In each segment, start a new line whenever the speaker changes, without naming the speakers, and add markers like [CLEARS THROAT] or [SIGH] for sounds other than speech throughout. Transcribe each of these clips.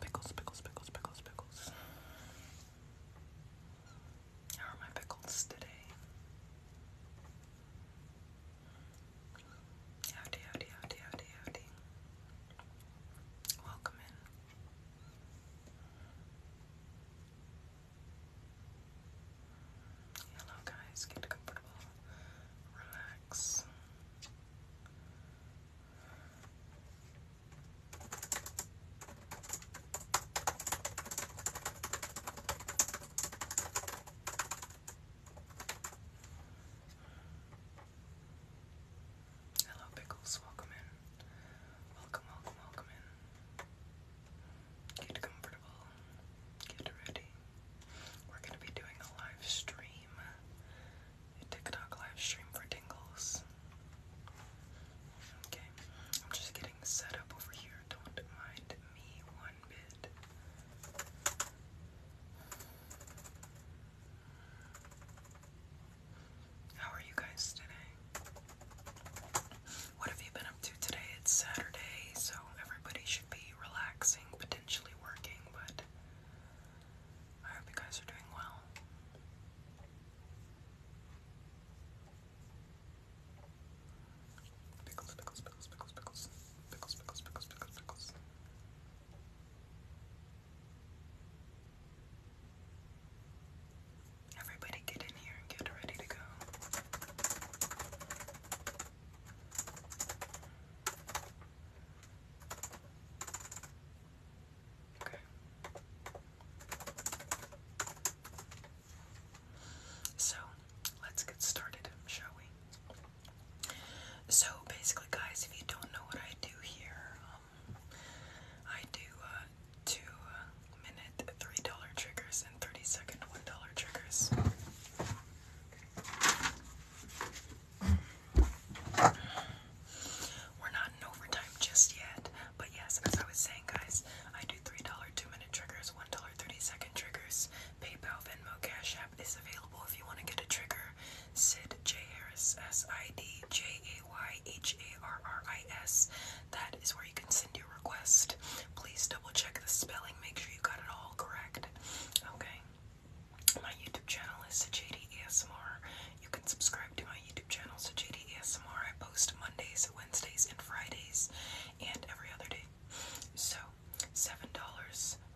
Pickles, pickles, pickles, pickles, pickles. How are my pickles today? Howdy, howdy, howdy, howdy, howdy. Welcome in. Hello, guys. Get comfortable. Relax. Hello, Pickles. Welcome in. Welcome, welcome, welcome in. Get comfortable. Get ready. We're going to be doing a live stream, TikTok live stream for Tingles. Okay, I'm just getting set up over here. Don't mind me one bit. How are you guys today? What have you been up to today? It's Saturday, so everybody should be relaxing, potentially working, but I hope you guys are doing well. Pickles, pickles, pickles, pickles, pickles, pickles, pickles, pickles, pickles, pickles. Everybody get in here and get ready to go. Okay. So, let's get started, shall we? So basically, guys, if you don't know what I do here, um, I do uh, two uh, minute three dollar triggers and thirty second one dollar triggers. We're not in overtime just yet, but yes, as I was saying, guys, I do three dollar two minute triggers, one dollar thirty second triggers, PayPal, Venmo, Cash is available if you want to get a trigger. Sid J. Harris, S I D J A Y H A R R I S. That is where you can send your request. Please double check the spelling, make sure you got it all correct. Okay. My YouTube channel is Sajadi ASMR. You can subscribe to my YouTube channel, Sajadi ASMR. I post Mondays, Wednesdays, and Fridays, and every other day. So, $7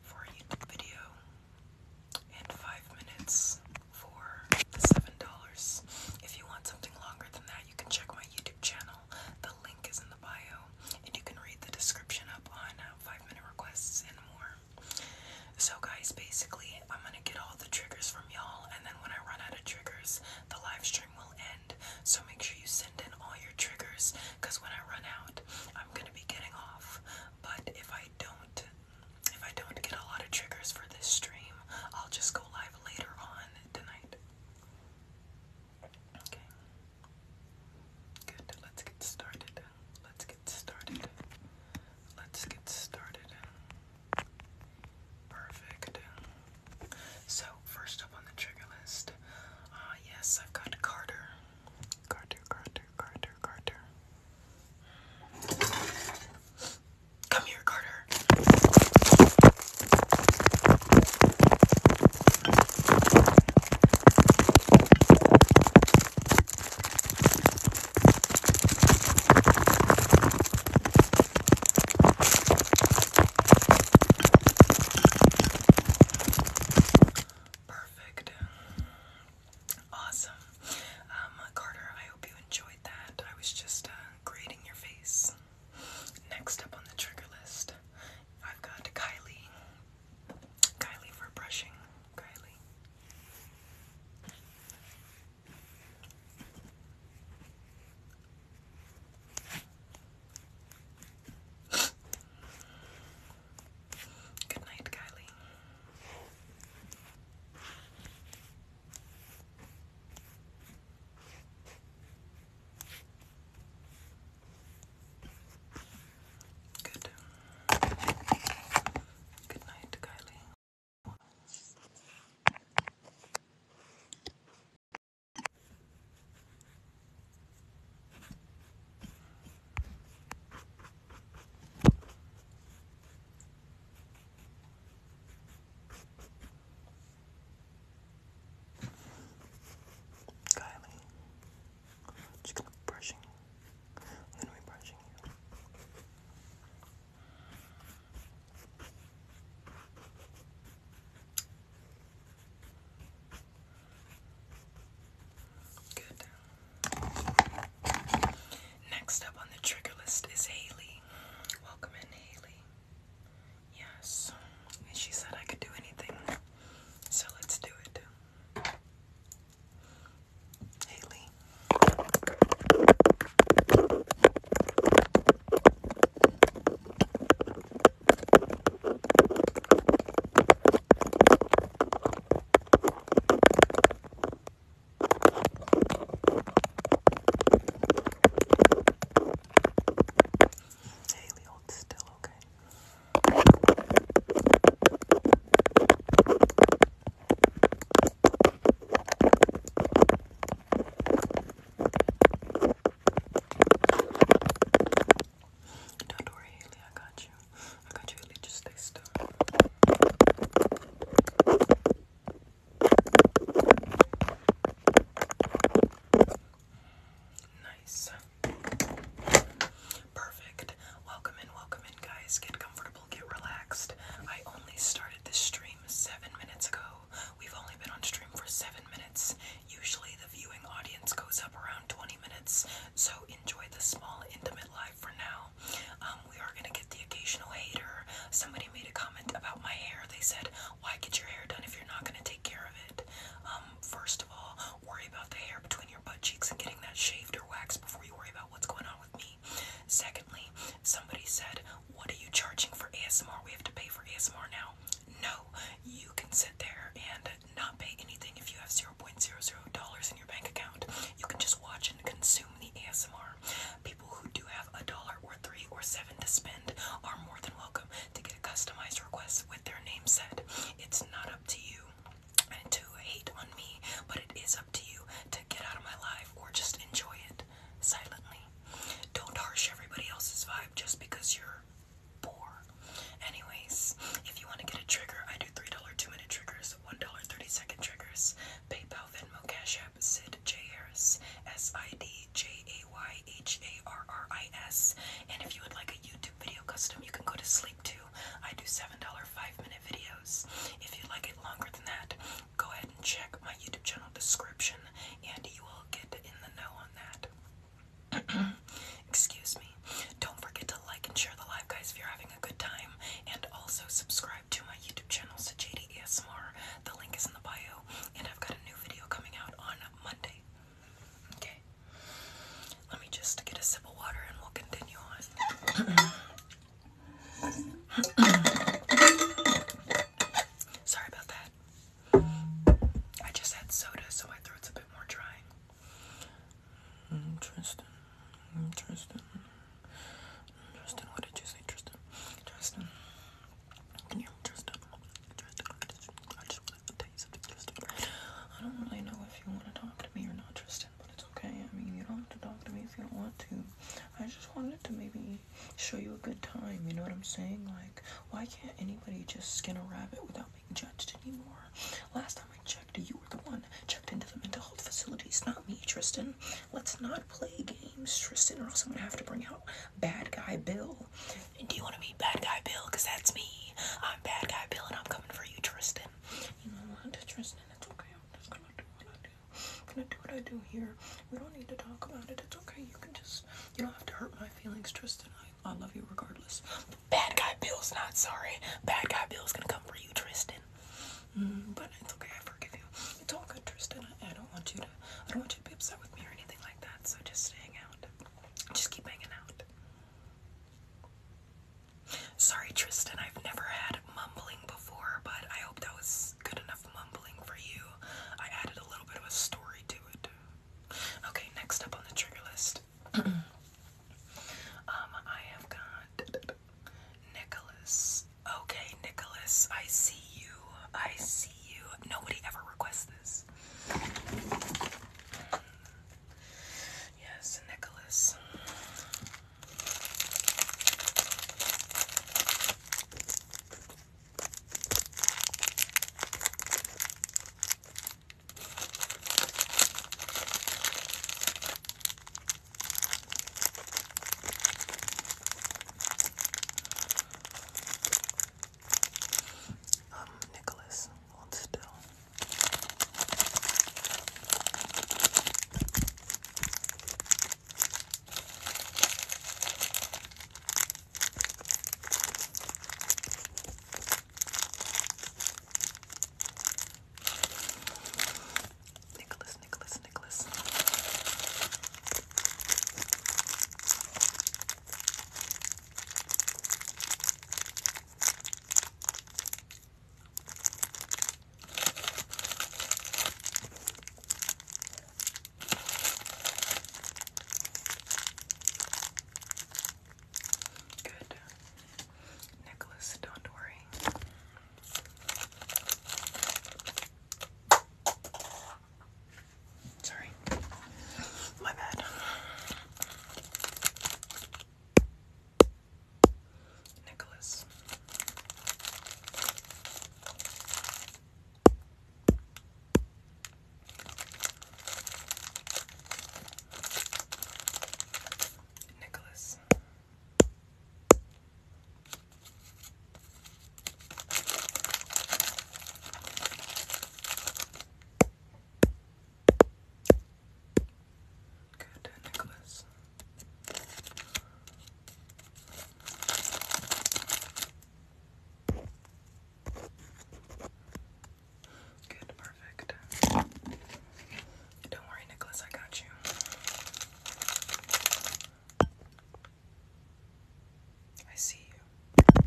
for a YouTube video and five minutes for the seven dollars. If you want something longer than that, you can check my YouTube channel. The link is in the bio, and you can read the description up on uh, five minute requests and more. So, guys, basically, I'm gonna get all the triggers from y'all, and then when I run out of triggers, the livestream will end. So, make sure you send in all your triggers because when I run out, I'm gonna be getting off. But if I I if I don't get a lot of triggers for this stream, I'll just go live later on tonight. Okay. Good. Let's get started. Let's get started. Let's get started. Perfect. So, first up on the trigger list, uh, yes, I've got Carter. Carter, Carter. Carter, Carter, Come here, Carter. Perfect. Awesome. Um, Carter, I hope you enjoyed that. I was just uh, grading your face. Next up on the trigger list, I've got Kylie. Kylie for brushing. Kylie. Good night, Kylie. Good. Good night, Kylie. Kylie, just going brushing. I'm gonna be brushing you. Good. Next up on the trigger list is Haley. Welcome in, Haley. Yes, and she said I could do anything, so let's do it. Haley. Haley, still, okay? Don't worry, Haley, I got you. I can't really just stay Nice. Perfect. Welcome in, welcome in, guys. Get comfortable, get relaxed. I only started this stream seven minutes ago. We've only been on stream for seven minutes. Usually, the viewing audience goes up around 20 minutes, so enjoy the small, intimate live it for now. Um, we are gonna get the occasional hater. Somebody made a comment about my hair. They said, "Why get your hair done if you're not gonna take care of it?" Um, first of all, worry about the hair between your butt cheeks and getting that shaved or waxed before you worry about what's going on with me. Secondly, somebody said, "What are you charging for ASMR? We have to pay for ASMR now." No, you can sit there and not pay anything if you have zero $0.00 in your bank account. You can just watch and consume the ASMR. People who do have a dollar or three or seven to spend are more than welcome to get a customized request with their name said. It's not up to you to hate on me, but it is up to you to get out of my life or just enjoy it silently. Don't harsh everybody else's vibe just because you're poor. Anyways, if you want to get a trigger, I do $3 two minute triggers. Stars, $1.30 triggers, PayPal, Venmo, Cash App, Sid J. Harris, S I D J A Y H A R R I S. And if you would like a YouTube video custom, you can go to sleep too. I do $7 five minute videos. If you like it longer than that, go ahead and check my YouTube channel description and you will get in the know on that. [CLEARS THROAT] Excuse me. Don't forget to like and share the live, guys, if you're having a good time. And also subscribe to my YouTube channel, Sajadi ASMR. The link is in the bio. And I've got a new video coming out on Monday. Okay. Let me just get a sip of water and we'll continue on. [COUGHS] Sorry about that. I just had soda, so my throat's a bit more dry. Tristan, Tristan, Tristan, what did you say, Tristan? Tristan, can you Tristan? Tristan, I just, I just wanted to tell you something, Tristan. I don't really know if you want to talk to me or not, Tristan, but it's okay. I mean, you don't have to talk to me if you don't want to. I just wanted to maybe show you a good time, you know what I'm saying? Like, why can't anybody just skin a rabbit without being judged anymore? Last time. I checked, you were the one checked into the mental health facilities, not me, Tristan. Let's not play games, Tristan, or else I'm gonna have to bring out Bad Guy Bill. do you wanna meet Bad Guy Bill? Because that's me. I'm Bad Guy Bill, and I'm coming for you, Tristan. You know what, Tristan? It's okay. I'm just gonna do what I do. I'm gonna do what I do here. We don't need to talk about it. It's okay. You can just, you don't have to hurt my feelings, Tristan. I, I love you regardless. Bad Guy Bill's not sorry. Bad Guy Bill's gonna come for you, Tristan. Mm, but it's okay, I forgive you. It's all good, Tristan. I, don't want you to I don't want you to be upset with me or anything like that, so just hang out. Just keep hanging out. Sorry, Tristan, I've never had mumbling before, but I hope that was good enough mumbling for you. I added a little bit of a story to it. Okay, next up on the trigger list. [CLEARS THROAT] um, I have got Nicholas. Okay, Nicholas, I see you. I see you. Nobody ever requests this. Yes, Nicholas. Um, Nicholas, hold still. Nicholas, Nicholas, Nicholas. Good. Nicholas, don't worry. Sorry. My bad. Nicholas. Nicholas. Good necklace. Good pearl. Don't worry, Nicholas, I got you. I see you.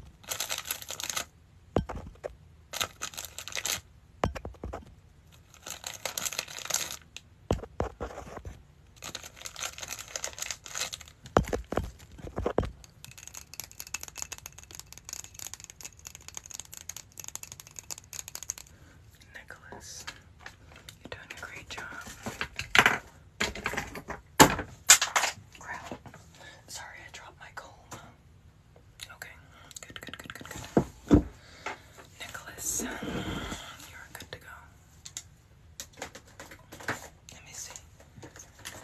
Nicholas, you're doing a great job. Crap. Sorry, I dropped my comb. Okay, good, good, good, good, good. Nicholas, you're good to go. Let me see. Nicholas.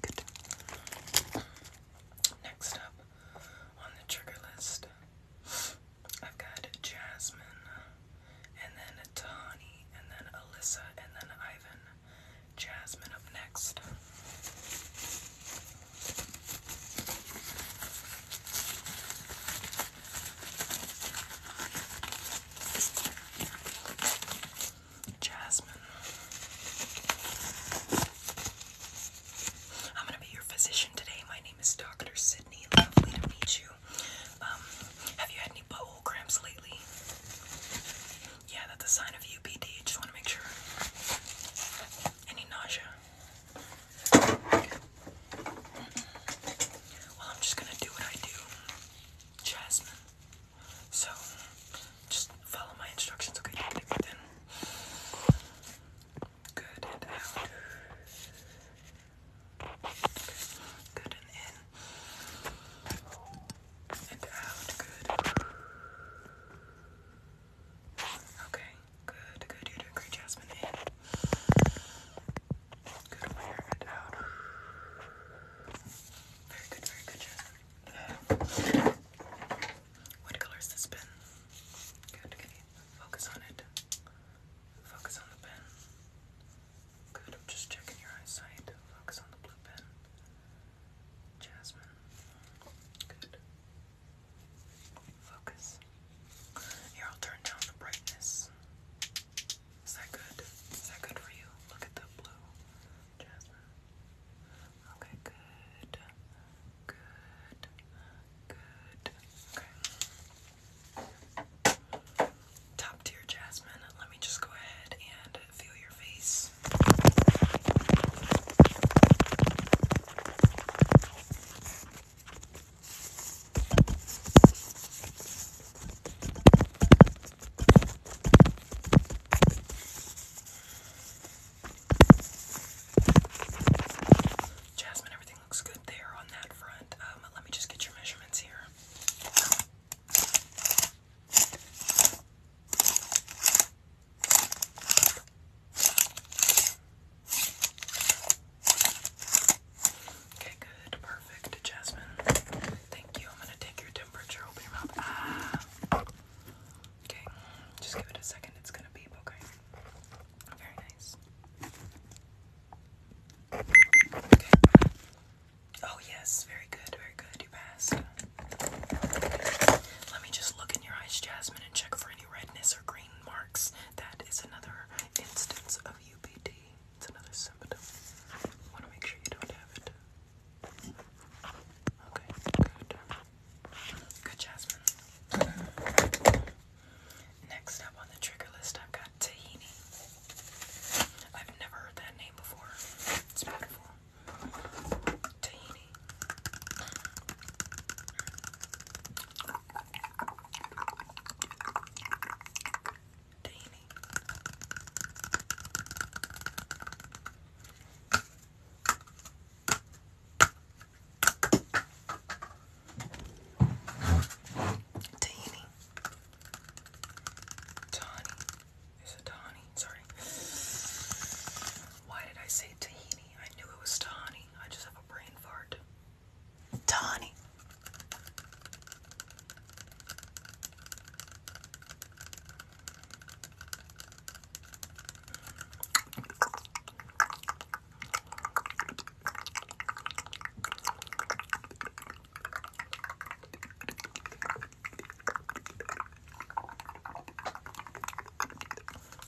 Good. Next up on the trigger list, I've got Jasmine, and then Tawny, and then Alyssa, and then Ivan. Jasmine up next. Jasmine. I'm going to be your physician today. My name is Dr. Sydney. Lovely to meet you. Um, have you had any butthole cramps lately? Yeah, that's a sign of UPD. Just want to make sure. Any nausea? Well, I'm just gonna do what I do, Jasmine. So, just follow my instructions, okay? Good and out. Good and in. And out. Good. Okay. Good, good, you great Jasmine Good wear it out. Very good, very good Jasmine. What color is this pen? Good, can focus on it? Focus on the pen. Good, I'm just checking your eyesight. Focus on the blue pen. Jasmine. Good. Focus. Here, I'll turn down the brightness. Is that good? Is that good for you? Look at the blue, Okay, good. Good. Good. Okay. Top tier, Jasmine. Let me just go ahead and feel your face. Jasmine, everything looks good there on that front. Um, let me just get your measurements here. Okay, good. Perfect, Jasmine. Thank you. I'm gonna take your temperature. Open your mouth. Ah. Okay, just give it a second. It's gonna beep, okay? Very nice. Okay. Oh, yes. Very good. Very good. You passed. Let me just look in your eyes, Jasmine, and check for any redness or green marks. That is another instance of UBD. It's another symptom. Want to make sure you don't have it. Okay, good. Good, Jasmine. Next up on the trigger list, I've got tahini. I've never heard that name before. It's beautiful. Tahini. Danny. Danny. Tawny. Is it Tawny? Sorry. Why did I say Tahini? I knew it was Tawny. I just have a brain fart. Tony.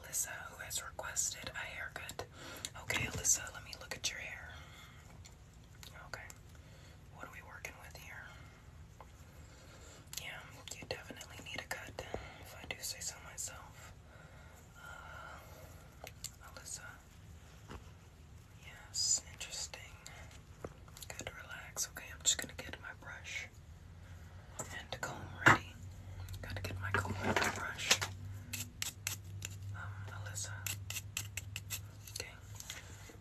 Alyssa, who has requested a haircut. Okay, Alyssa, let me look at your hair. Okay, what are we working with here? Yeah, you definitely need a cut, if I do say so myself. Uh, Alyssa. Yes, interesting. Good, relax. Okay, I'm just gonna get my brush and comb ready. Gotta get my comb and brush um, Alyssa. Okay,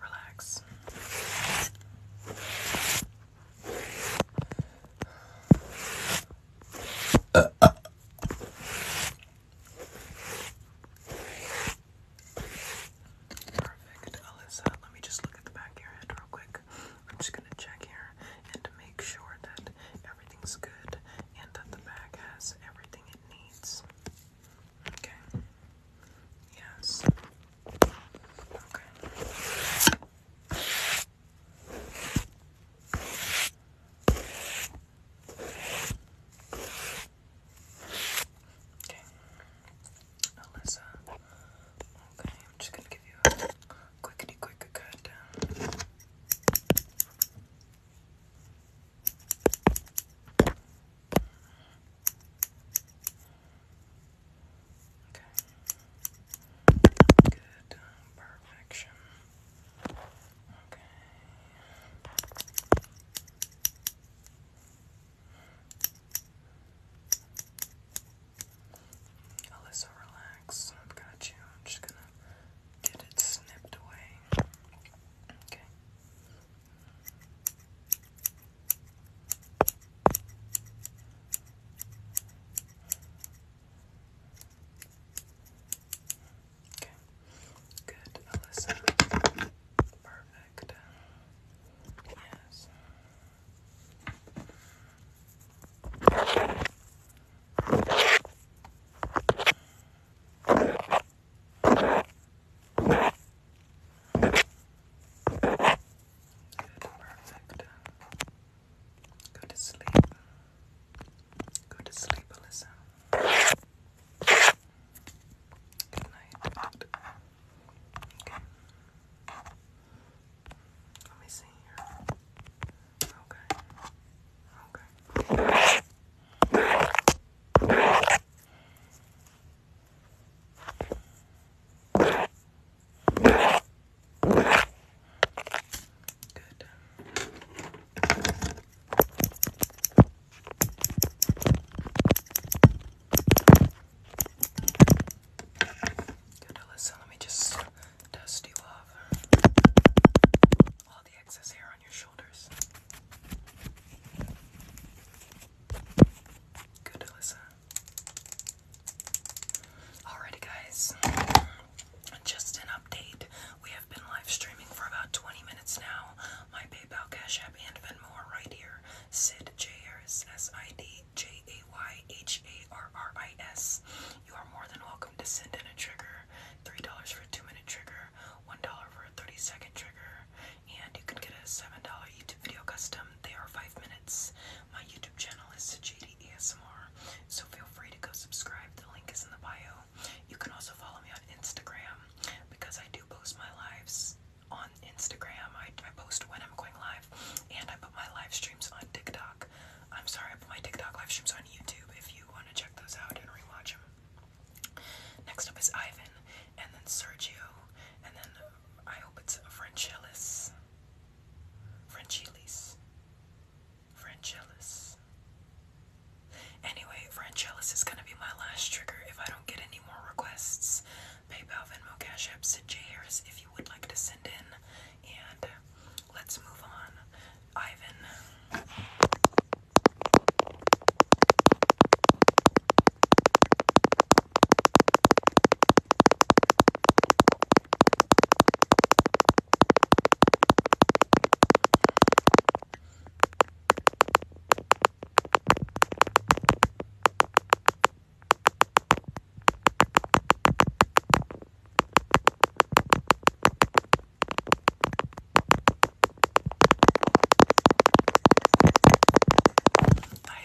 relax. Perfect, Alyssa. Let me just look at the back of your head real quick. I'm just gonna check here and make sure that everything's good and that the bag has everything it needs. Okay. Yes. Okay. Okay. Alyssa. Okay, I'm just gonna give you a quickity quick cut Okay. Good. Perfection. Okay. Alyssa, relax. I've got you. am just gonna Get it snipped away. Okay. Okay. Good, Alyssa. Perfect. Yes. Perfect. Go to sleep. Go to sleep, Alyssa. Good night. Okay. Let me see here. Okay. Okay. Good. Good, Alyssa, let me just dust you off the excess hair on your shoulders. Good, Alyssa. Alrighty, guys. Just an update. We have been live streaming for about 20 minutes now. My PayPal, Cash App, and Venmo right here. Sid J R S S I D J A Y H A R R I S. You are more than welcome welcome to send in a trigger. $3 for a 2 minute trigger, $1 for a 30 second trigger, and you can get a $7 YouTube video custom. They are 5 minutes. My YouTube channel is Sajidi ASMR, so feel free to go subscribe. The link is in the bio. You can also follow me on Instagram because I do post my lives on Instagram. I, I post when I'm going live and I put my live streams on TikTok. I'm sorry, I put my TikTok live streams on YouTube if you want to check those out and rewatch them. Next up is Ivan, and then Sergio, and then I hope it's Franchelis. Franchelis. Franchelis. Anyway, Franchelis is gonna be my last trigger if I don't get any more requests. PayPal, Venmo, Cash App, to J. Harris if you would like to send in. And Let's move on. Ivan. Bye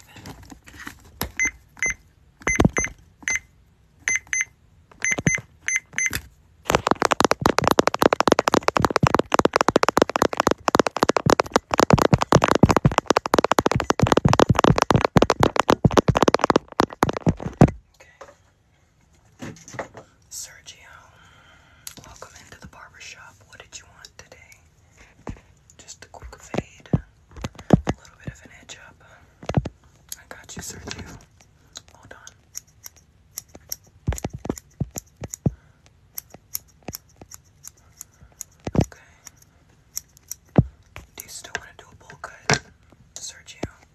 then. Okay. Sergio, welcome into the barbershop. What did you want today? Just a quick fade, a little bit of an edge up. I got you, Sergio. Hold on. Okay. Do you still want to do a bowl cut, Sergio?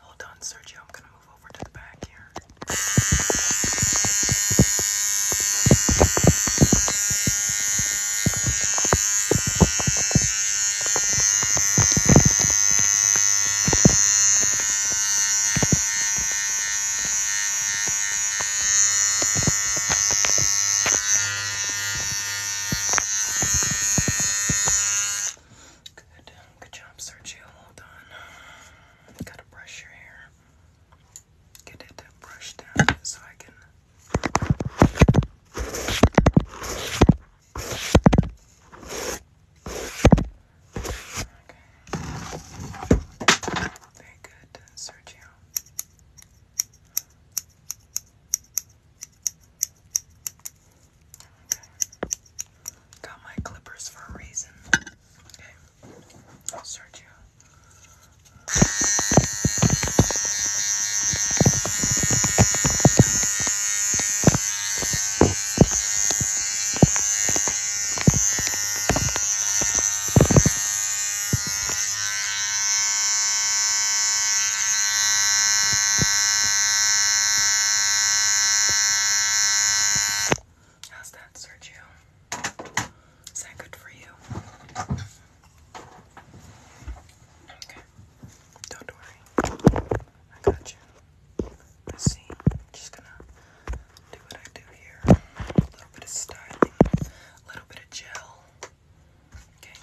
Hold on, Sergio. I'm gonna move over to the back here. Good. Good job, Sergio. Hold on. Gotta brush your hair. Get it brushed down so I can. Okay. Very good, Sergio. Okay. Got my clippers for a reason. Okay. Sergio. How's that, Sergio? Is that good for you? Okay. Don't worry. I got you. Let's see. just gonna do what I do here. A little bit of styling, a little bit of gel. Okay.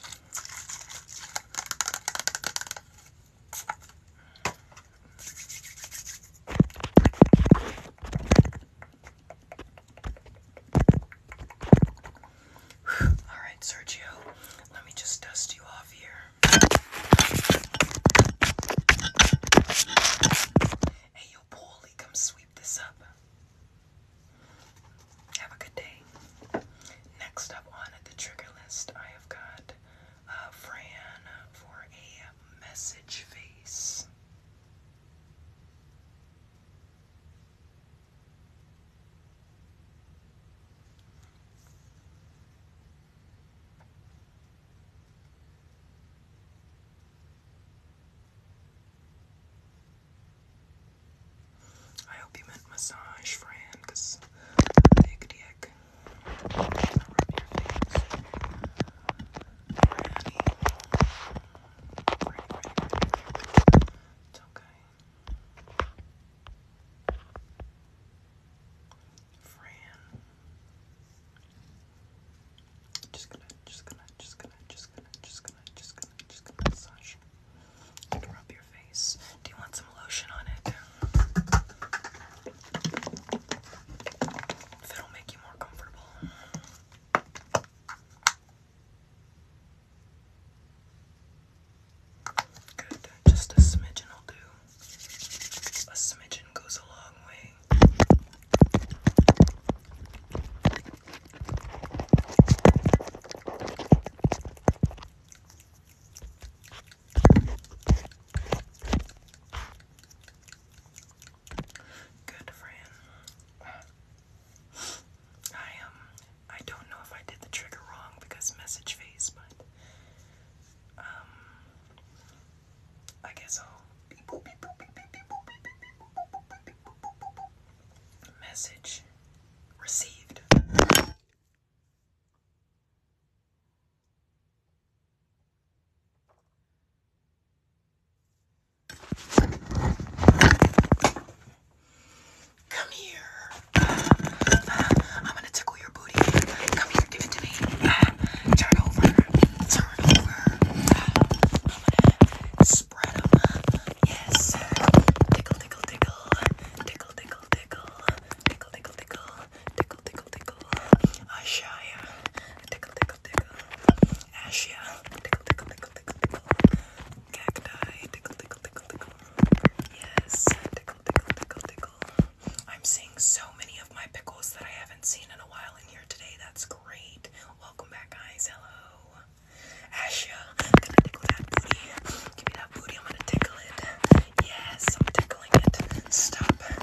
All right, Sergio, let me just dust you off here. Hey, yo, Paulie, come sweep this up. Have a good day. Next up on the trigger list, I have got uh, Fran for a message face. I hope you meant massage, Fran, because big dick. It's okay. Fran. Just gonna, just gonna, just gonna, just gonna, just gonna, just gonna, just gonna massage. Rub your face. Do you want some lotion on it? If it'll make you more comfortable. Good. Just a smidgen will do. A smidgen goes a long way. Good friend. I um I don't know if I did the trigger wrong because message phase, but um I guess I'll message received. Come here. I'm gonna tickle your booty. Come here, give it to me. Turn over. Turn over. i Yes. Tickle, tickle, tickle. Tickle, tickle, tickle. Tickle, tickle, tickle tickle, tickle, tickle, Ashaya, tickle, tickle, tickle, Ashia, tickle, tickle, tickle, tickle, tickle, cacti, tickle, tickle, tickle, tickle, yes, tickle, tickle, tickle, tickle. I'm seeing so many of my pickles that I haven't seen in a while in here today. That's great. Welcome back, guys. Hello. Asha, gonna tickle that booty. Give me that booty. I'm gonna tickle it. Yes, I'm tickling it. Stop.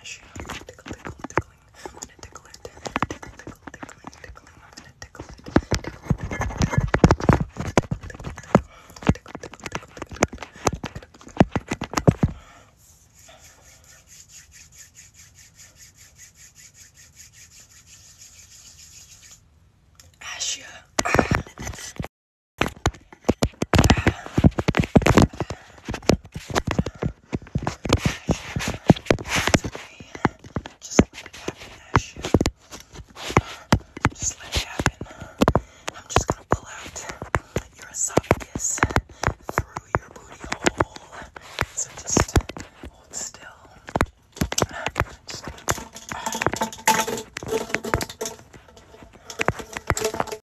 ash passion. Basically, just let it happen, Ash. Just let it happen. I'm just gonna pull out your esophagus through your booty hole. So just hold still. Just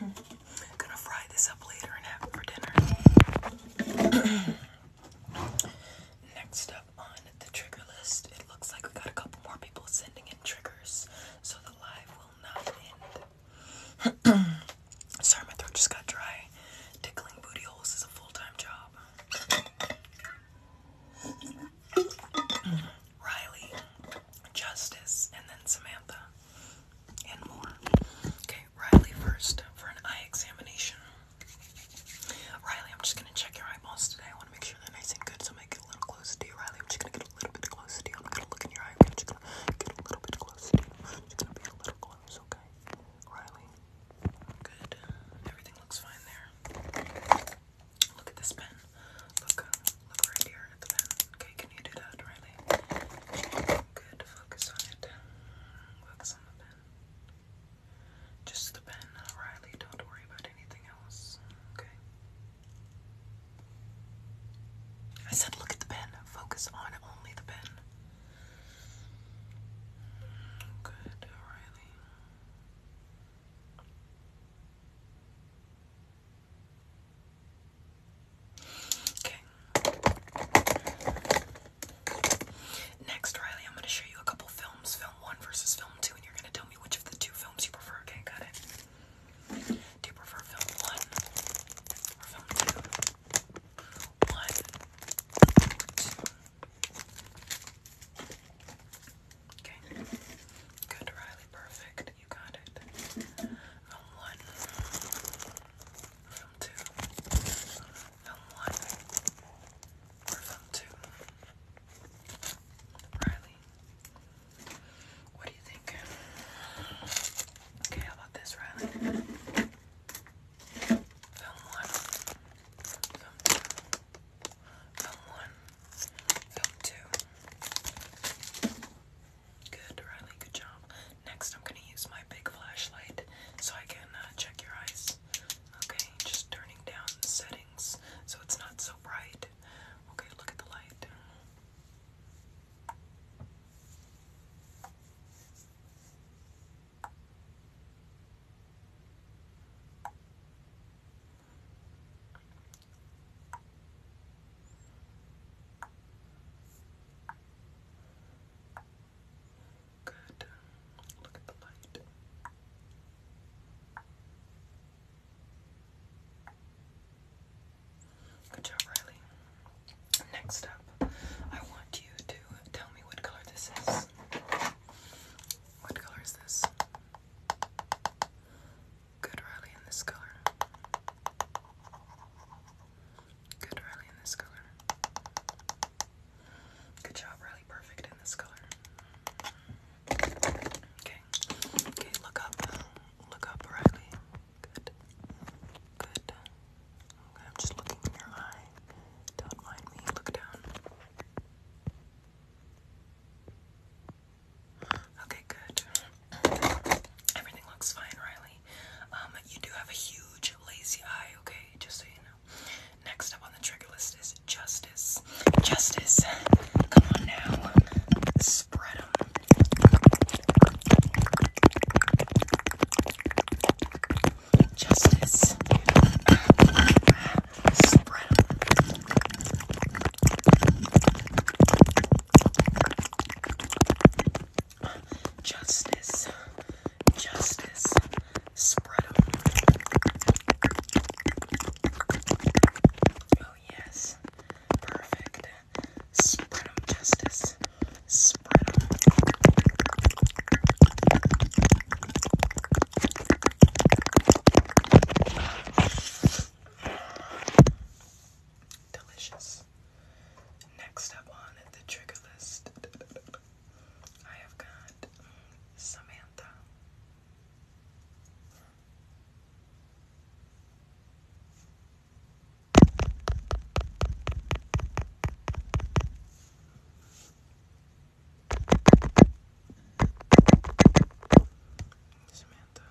I'm gonna fry this up later and have it for dinner. Next up on the trigger list, it looks like we got a couple more people sending in triggers, so the live will not end. Sorry, my throat just got dry. Tickling booty holes is a full time job. Riley, Justice, and then Samantha, and more. Okay, Riley first for an eye examination. Riley, I'm just gonna check your eyeballs today. I wanna make sure they're nice and good, so I'm gonna get a little closer to you. Riley, I'm just gonna get a little bit closer to you. I'm gonna look in your eye. I'm just gonna get a little bit closer to you. I'm just gonna be a little close, okay? Riley, good. Everything looks fine there. Look at this pen. Look, look right here at the pen. Okay, can you do that, Riley? Good. Focus on it. Focus on the pen. Just the pen, uh, Riley. Don't worry about anything else. Okay. I said, look at the pen. Focus on only the pen. Good, Riley. Okay. Next, Riley, I'm going to show you a couple films, film one versus film two, and you're going to tell me which of the two films you prefer. Okay, got it. Do you prefer film one or film two? One, two. Okay. Good, Riley, perfect it, you got it. i one. From two. one. We're two. Riley. What do you think? Okay, how about this, Riley? Film one. Film two. Film one. Film two. Good, Riley. Good job. Next, I'm gonna use my big flashlight so I can uh, check your eyes. Okay, just turning down the settings so it's not so bright. Okay, look at the light. Good. Look at the light. Good job, Riley. Next up, I want you to tell me what color this is. What color is this? Good rally in this color. Good rally in this color. Good job, really perfect in this color. Okay. Okay, look up. Look up, Riley. Good. Good. Okay, I'm just looking in your eye. Don't mind me. Look down. Okay, good. Everything looks fine, Riley. Um, you do have a huge lazy eye, okay? Just so you know. Next up on the trigger list is justice. Justice. Come on now. Spread them. Justice. Spread Justice. Justice. spread 'em. Oh, yes. Perfect. Spread Justice. Spread Delicious. Next up on the trigger list, I have got Samantha. Samantha.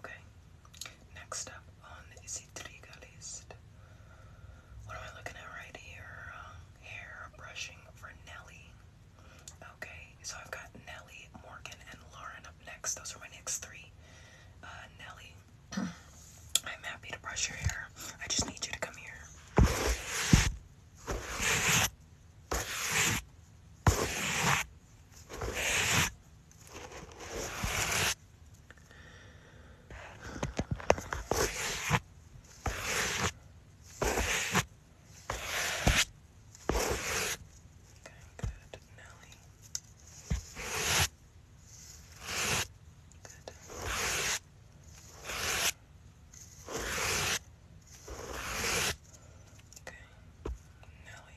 Okay, next up on the trigger list. What am I looking at right here? Um, hair brushing for Nelly. Okay, so I've got Nelly, Morgan, and Lauren up next. Those are my next three. Uh, Nelly, [CLEARS THROAT] I'm happy to brush your hair. I just need you to come here. Good, Nelly. Good. Okay, Nelly.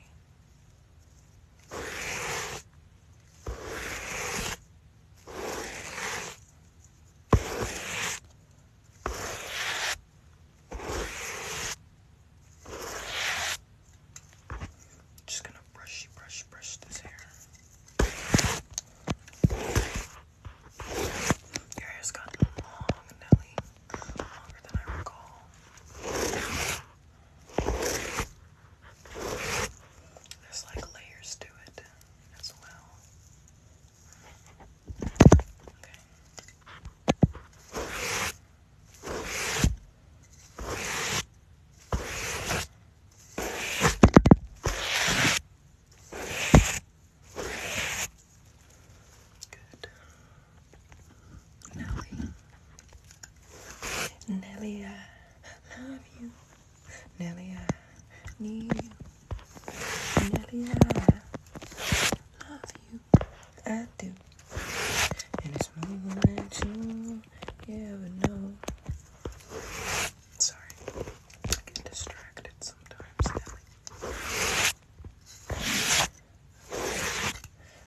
Just gonna brush, brush, brush this hair. Your hair's gotten long, Nelly. Longer than I recall. There's like layers to it as well. Okay. Good. Nelly. Nelly, I love you. Nelly, I need you. Nelly, I love you. I do. And it's more than you ever know. Sorry. I get distracted sometimes, Nelly.